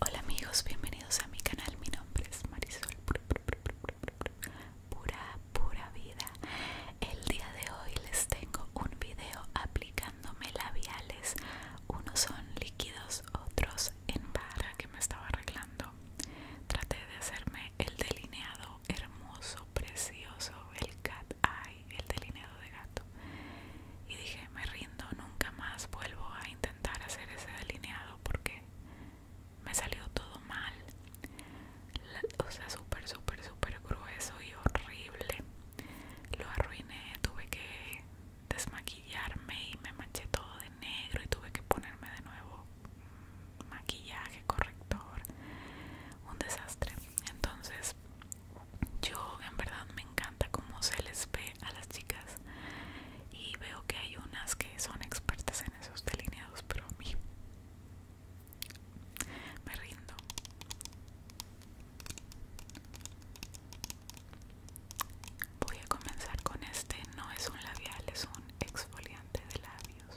Hola amigos, bienvenidos a mi canal. Mi nombre es Marisol. Pura, pura vida. El día de hoy les tengo un video aplicándome labiales. Unos son líquidos, otros en barra que me estaba arreglando. Traté de hacerme el delineado hermoso, precioso, el cat eye, el delineado de gato. Y dije, me rindo, nunca más vuelvo a intentar hacer ese delineado porque me salió todo mal. o sea, súper, súper, súper grueso y horrible. Lo arruiné, tuve que desmaquillarme y me manché todo de negro y tuve que ponerme de nuevo maquillaje, corrector un desastre. Entonces, yo en verdad me encanta cómo se les ve a las chicas y veo que hay unas que son expertas en esos delineados, pero a mí me rindo. Voy a comenzar con este, no es un labial, es un exfoliante de labios.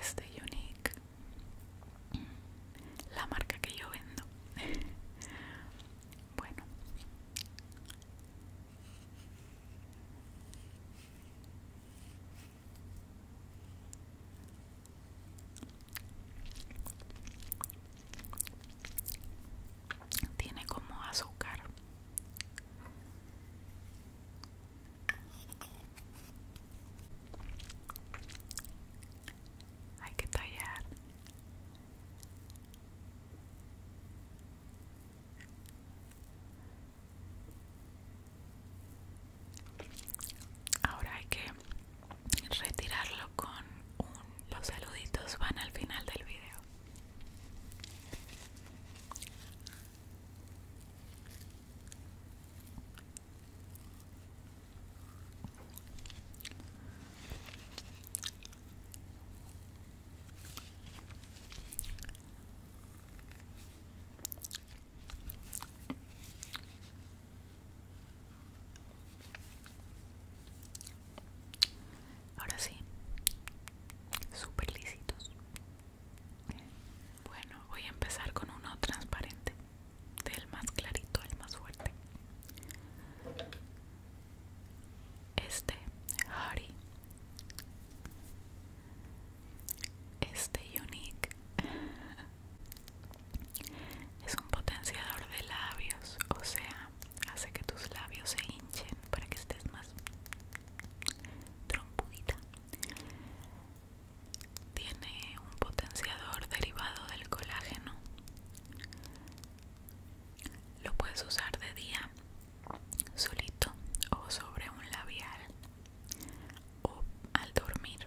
Este Unique la marca que yo vendo bueno tiene como azúcar hay que tallar. Ahora hay que retirarlo con los saluditos van al final del video. Ahora sí, súper lisitos. Bueno, voy a empezar con uno transparente, del más clarito al más fuerte. Este, Harry. Este Unique es un potenciador de labios, o sea, hace que tus labios se hinchen para que estés más trompudita tiene un potenciador derivado del colágeno. Lo puedes usar de día, solito o sobre un labial o al dormir.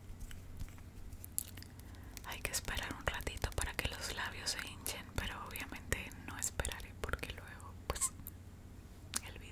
Hay que esperar un ratito para que los labios se hinchen, pero obviamente no esperaré porque luego, pues, el video.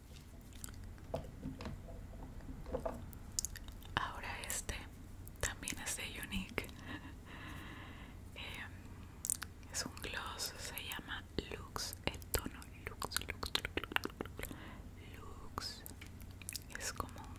Ahora este también es de Unique. Em, es un gloss, se llama Lux, el tono Lux, Lux, Lux, Es como un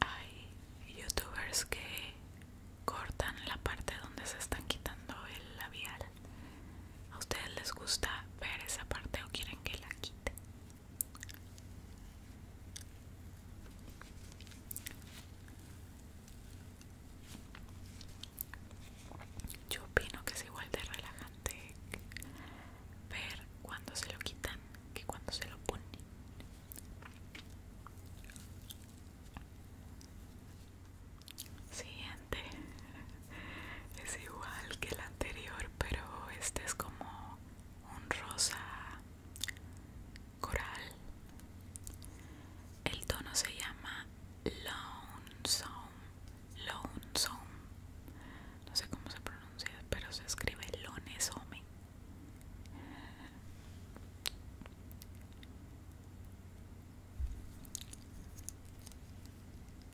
Hay youtubers que cortan la parte donde se están quitando el labial ¿A ustedes les gusta ver esa parte o quieren que la quite? Yo opino que es igual de relajante ver cuando se lo quitan que cuando se lo ponen. Siguiente es igual que el anterior pero este es como un rosa coral el tono se llama lonesome lonesome no sé cómo se pronuncia pero se escribe lonesome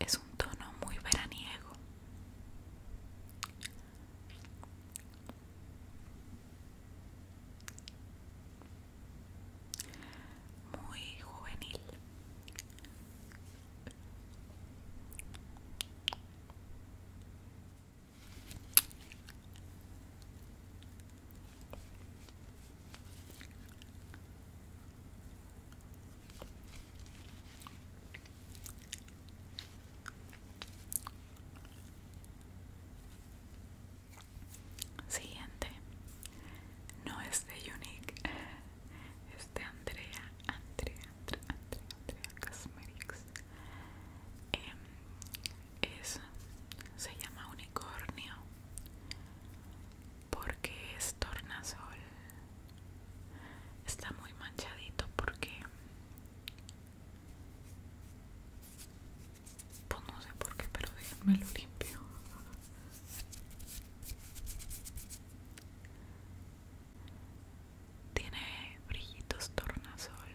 Es un tono muy veraniego muy juvenil Siguiente. No es de Unique. Es de Andrea. Andrea, Andrea, Andrea, em, es, se llama Unicornio. Porque es tornasol. Está muy manchadito porque pues no sé por qué, pero déjenme lo limpio. Tiene brillitos tornasol.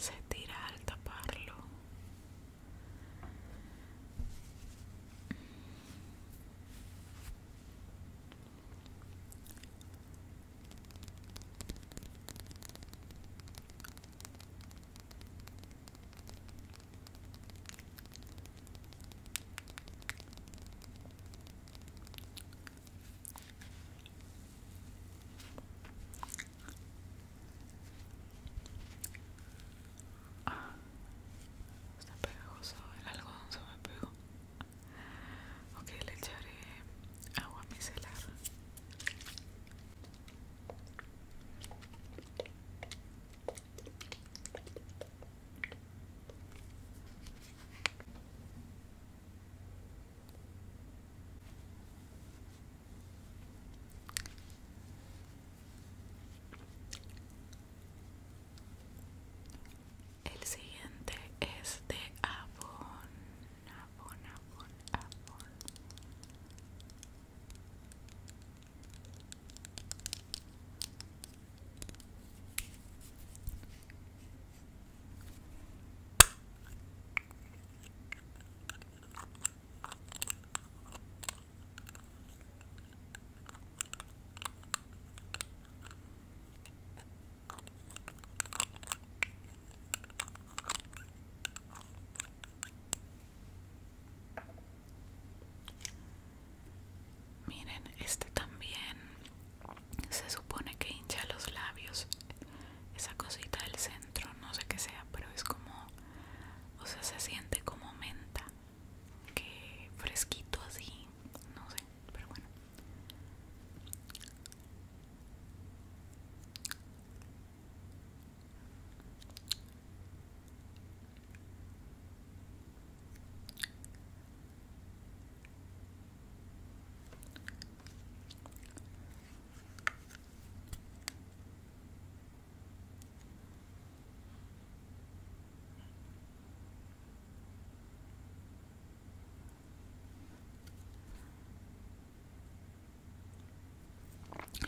Se, tira al taparlo. Ah, está pegajoso, el algodón se me pegó ok le echaré agua micelar el siguiente es de Avon. Avon, Avon, Avon. Miren, este también se supone que hincha los labios. Esa cosita del centro, no sé qué sea, pero es como, o sea, se siente como menta, que fresquito así, no sé pero bueno.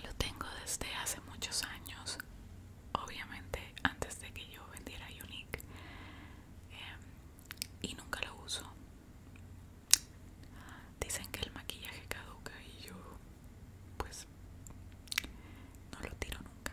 Lo tengo desde hace muchos años, obviamente antes de que yo vendiera Unique, em, y nunca lo uso. Dicen que el maquillaje caduca y yo, pues, no lo tiro nunca.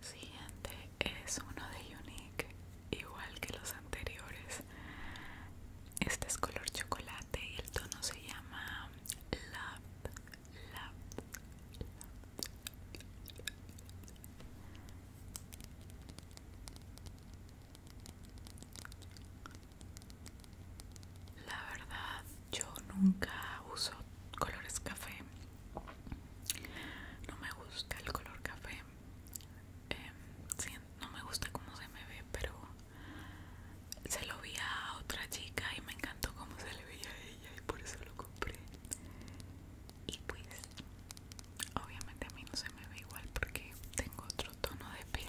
Siguiente es uno de Unique, igual que los anteriores. Este es color chocolate y el tono se llama Love la, verdad yo nunca uso colores café no me gusta el color café em, sí, no me gusta cómo se me ve pero se lo vi a otra chica y me encantó cómo se le veía a ella por eso lo compré y pues obviamente a mí no se me ve igual porque tengo otro tono de piel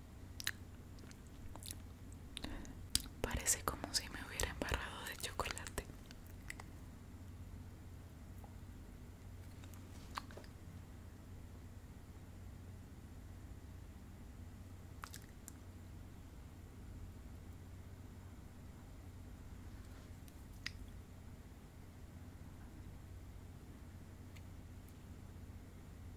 Parece como si me hubiera embarrado de chocolate.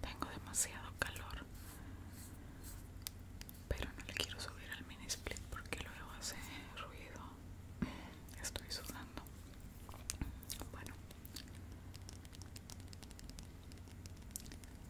Tengo demasiado calor, pero no le quiero subir al mini split porque luego hace ruido. Estoy sudando. Bueno,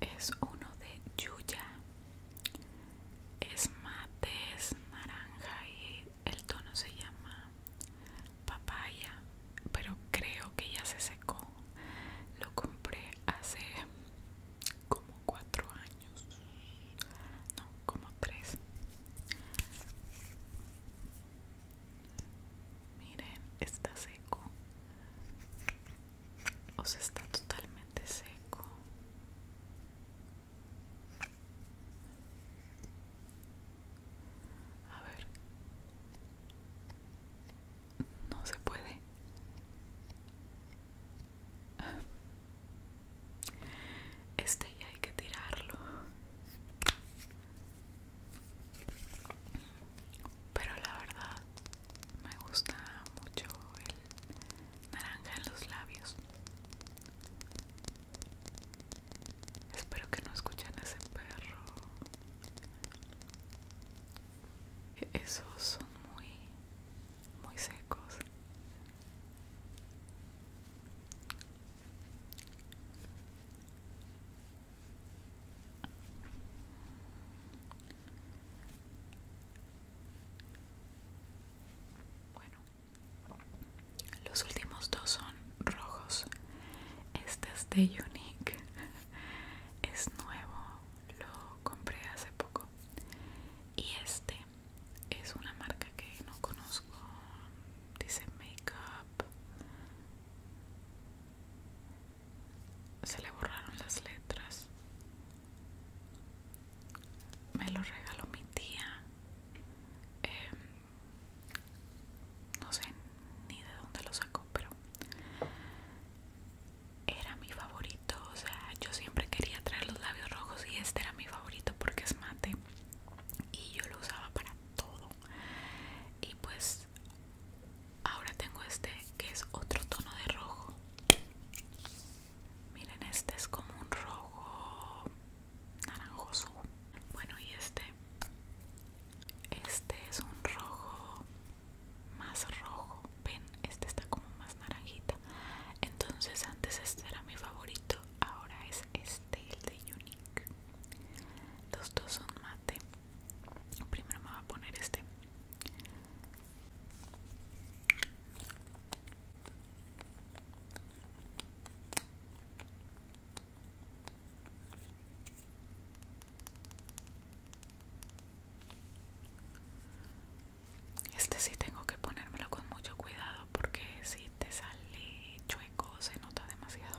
es uno de Yuya. Es mate, es naranja y el tono se llama papaya, pero creo que ya se secó. Lo compré hace como cuatro años, no, como tres. Miren, está seco o está totalmente seco a ver no se puede este ya hay que tirarlo pero la verdad me gusta mucho el naranja en los labios espero que no escuchen a ese perro esos son muy muy secos bueno, los últimos dos son rojos. Este es de Unique. Es nuevo, lo compré hace poco. Y este es una marca que no conozco. Dice make up se le borraron las letras. Me lo regaló mi tía. Em, no sé ni de dónde lo sacó, pero era mi favorito. O sea, yo siempre quería traer los labios rojos y este era mi favorito porque es mate. Y yo lo usaba para todo. Y pues Ahora tengo este que es otro tono de rojo. Miren, este es como un rojo naranjoso. Bueno, y este. Este es un rojo más rojo. Ven, este está como más naranjita. Entonces antes este era mi favorito. Ahora es este, el de Unique. Los dos son mate. Primero me voy a poner este. Este sí tengo que ponérmelo con mucho cuidado porque si te sale chueco se nota demasiado.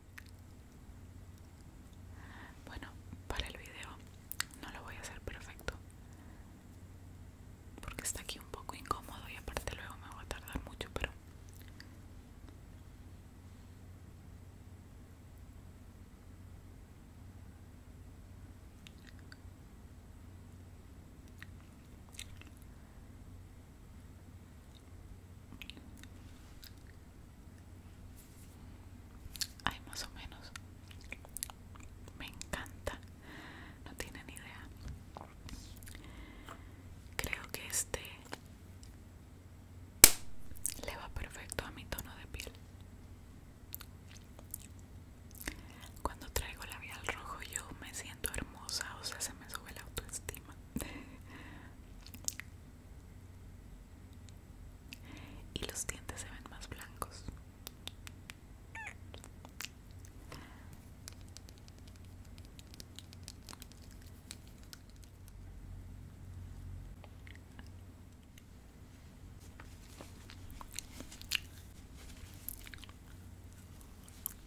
Bueno, para el video no lo voy a hacer perfecto porque está aquí un poco incómodo y aparte luego me voy a tardar mucho, pero hay más o menos. Me encanta. No tienen idea. Creo que este le va perfecto a mi tono de piel. Cuando traigo labial rojo yo me siento hermosa, o sea, se me sube la autoestima y los dientes se ven más blancos.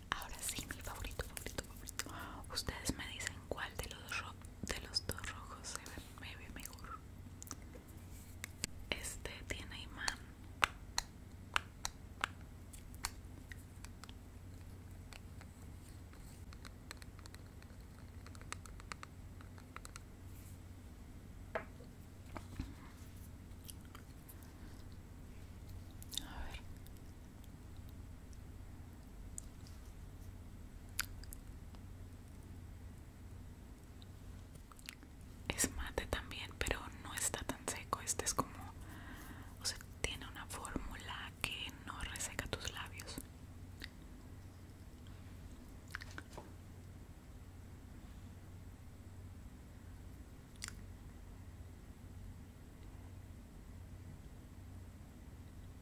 Ahora sí, mi favorito, favorito, favorito. Ustedes me dicen cuál de los dos de los dos rojos se ve, me mejor. Este tiene imán. A ver. Es mate también, pero no está tan seco. Este es como, o sea, tiene una fórmula que no reseca tus labios.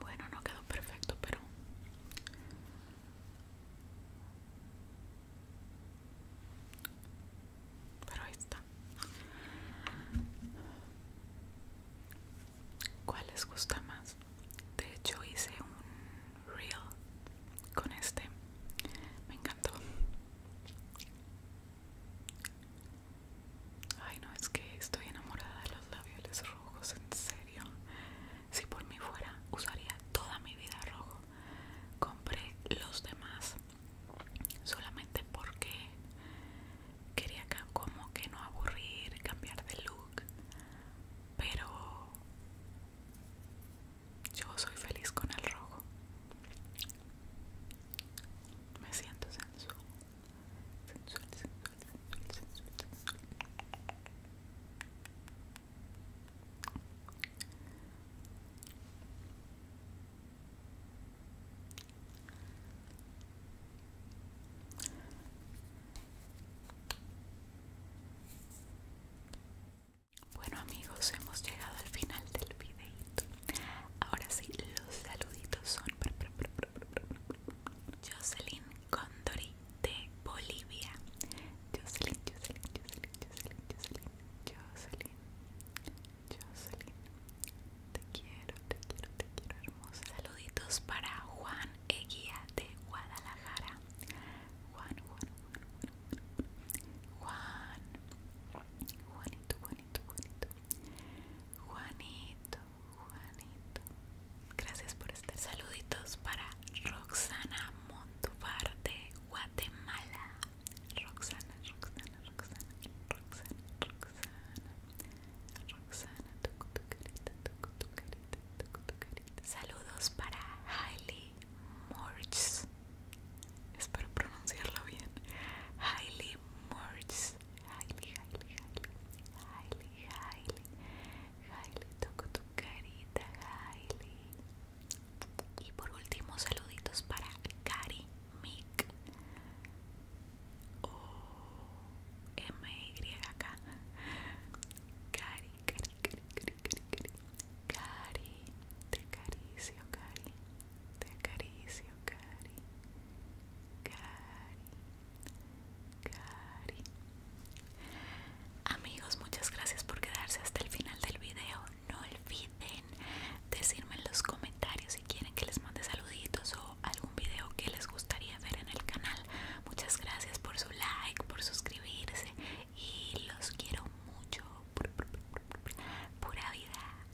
Bueno, no quedó perfecto, pero pero ahí está. ¿Cuál les gusta más? De hecho hice un reel con este. Me encantó. Ay, no, es que estoy enamorada de los labiales rojos, en serio. Si por mí fuera, usaría toda mi vida rojo. Compré los demás solamente porque quería como que no aburrir, cambiar de look. Pero yo soy feliz con el rojo. Me siento sensual. Bueno amigos, hemos llegado al final del videito. Ahora sí, los saluditos son Jocelyn Condori de Bolivia. Jocelyn, Jocelyn, Jocelyn, Jocelyn, Jocelyn, Jocelyn, Jocelyn. Te quiero, te quiero, te quiero, hermosa. Saluditos para Juan Eguía de Guadalajara. Juan, Juan, Juan, Juan. Juan, Juanito, Juanito, Juanito, Juanito. Juanito, Juanito. Gracias por estar. Saluditos para Roxana Montuvar de Guatemala. Roxana, Roxana, Roxana, Roxana, Roxana. Roxana, toco tu carita, toco tu carita, toco tu carita. Saludos para Hailey Murchs Espero pronunciarlo bien. Hailey Murchs highly, highly, highly, highly, highly, highly, toco tu carita, highly. Y por último, saluditos para Cari Mick. O M Y K. Cari, Cari, Cari, Cari, Cari, Cari. Te acaricio, Cari. Te acaricio, cari, cari, cari. Amigos, muchas gracias por quedarse hasta el final del video. No olviden decirme en los comentarios si quieren que les mande saluditos o algún video que les gustaría ver en el canal. Muchas gracias por su like, por suscribirse y los quiero mucho. Pura vida.